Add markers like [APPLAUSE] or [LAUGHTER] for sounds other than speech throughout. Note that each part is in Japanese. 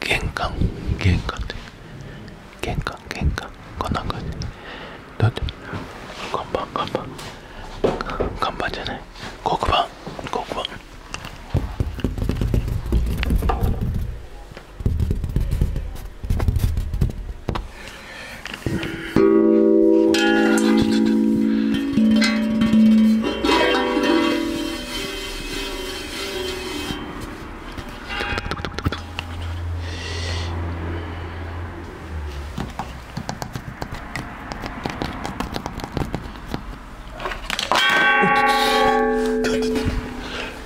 玄関玄関で玄関玄関こんな感じだって看板看板看板じゃない黒板黒板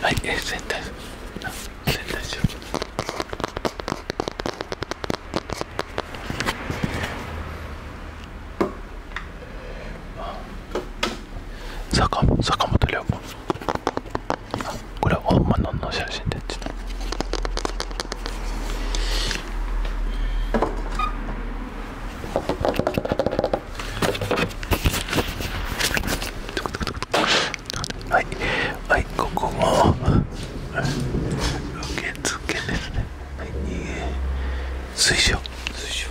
はい、全体、全体しよ坂本坂本龍馬これは本物の写真でちょっとはいはいここも受け付ですねはい水晶水晶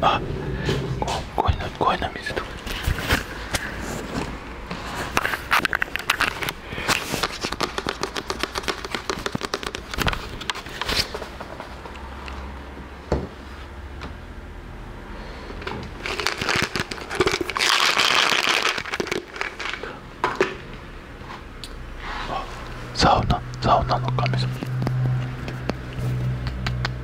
あこ声の声の水とかサウナサウナの神様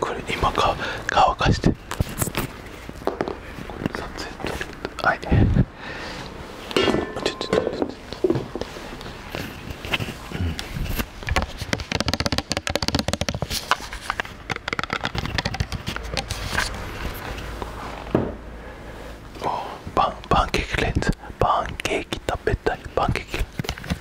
これ今か乾かしてこれ撮影撮るはいちパンパンケーキレンズパンケーキ食べたいパンケーキ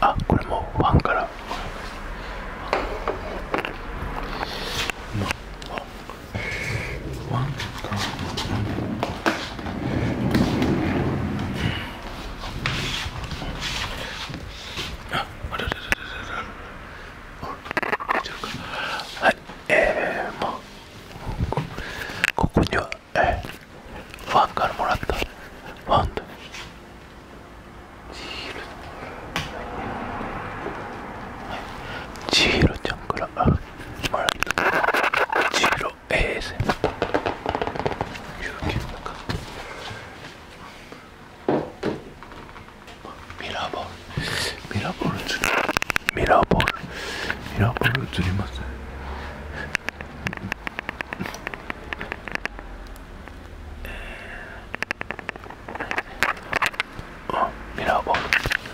あこれもファンからワンから。はいええ、まあここには、えー、ファンからもらったファンとちひろちゃんからもらったちひろ ASM 有給だかミラーボールミラーボール映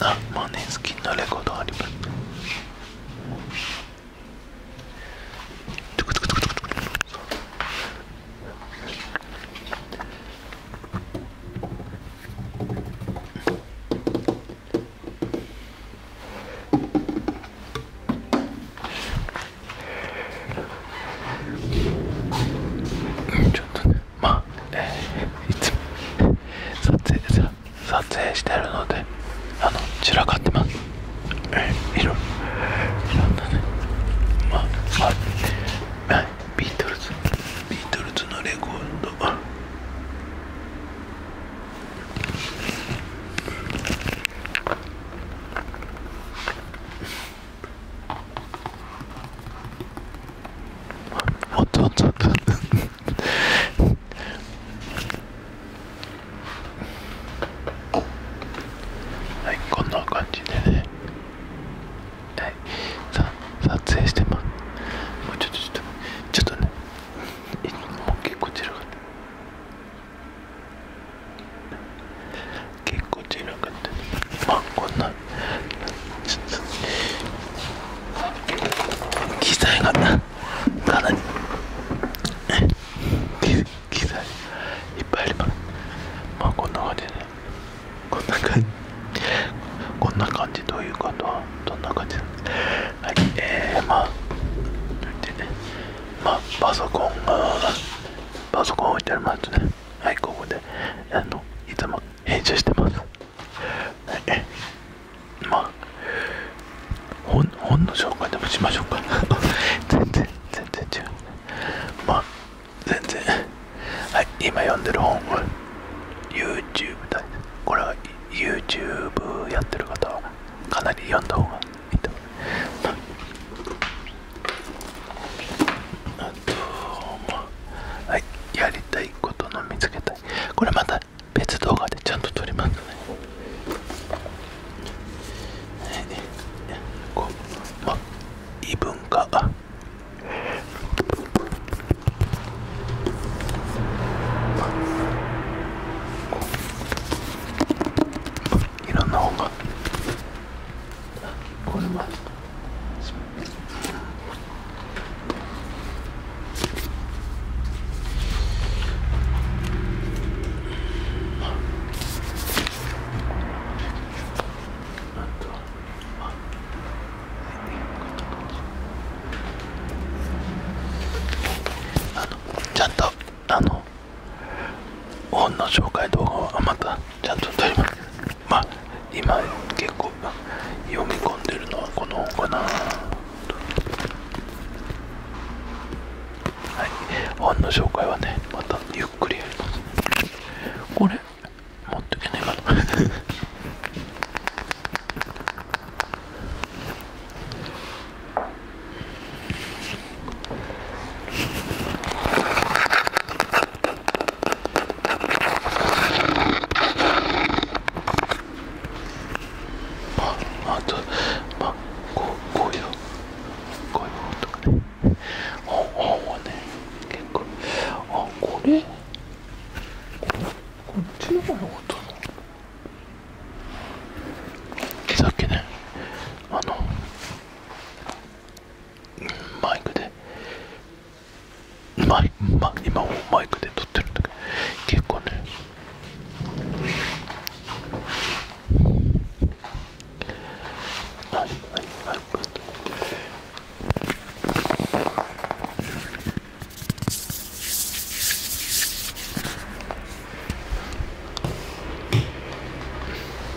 あマネスキンのレコードありますちょっとねまあ、えー、いつも撮影撮影してるのであの散らかってます、えー、いろいろんなねまあはい、はい、ビートルズビートルズのレコードおっとおっとはいこんな感じでねはいさ撮影してますもうちょっとちょっとちょっとねもう結構散らかった結構散らかったまあこんな機材がかなに。機材いっぱいありままあこんな感じでこんな感じこんな感じどういうことどんな感じはいえー、まあまあパソコンがパソコン置いてありますねはいここであのいつも編集してます。まあ、本本の紹介でもしましょうか。全然、全然違う。まあ、全然。はい、今読んでる本は YouTube だ。これは YouTube やってる方はかなり読んだ方がいいと思います。はいやりたいことの見つけたいこれまた別動画でちゃんと撮りますねはいこうまあ異文化いろんな本がこれもあの、ちゃんとあの本の紹介動画はまたちゃんと撮りますまあ今結構読み込んでるのはこの本かなはい本の紹介はねまたゆっくりやりますこれ持ってけないかな [LAUGHS] まあとまあこういうこういう音がねあ、あ、はね結構あこれこっちの方の音さっきねあのうん、マイクでマイま今もマイクで撮ってるんだけど結構ねはいはいはい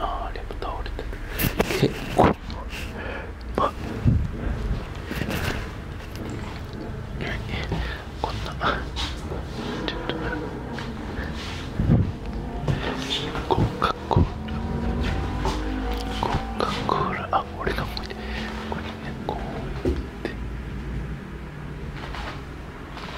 ああレム倒れてる結構まあこんなちょっとコカ・コーラコカ・コーラあ俺がここにねこうやって。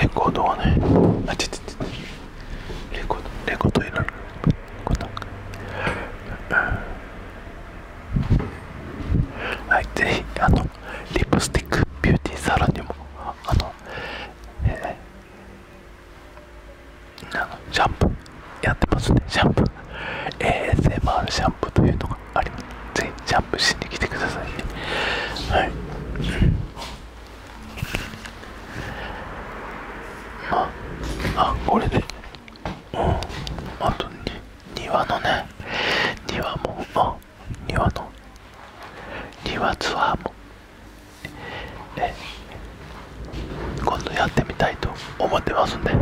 レコードはねあちちちレコードレコードいらないはいぜひあのリップスティックビューティーサロにもあの、えあのシャンプーやってますねシャンプー ASMR シャンプーというのがありますぜひシャンプーしに来てくださいねはいああこれで、うんあとに。庭のね庭もあ庭の庭ツアーもえ今度やってみたいと思ってますんで、は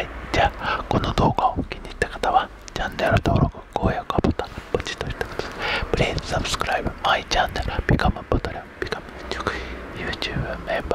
いじゃあこの動画を気に入った方はチャンネル登録高評価ボタンポチッとしてください Please subscribe my channel become a patron b u b e m e m b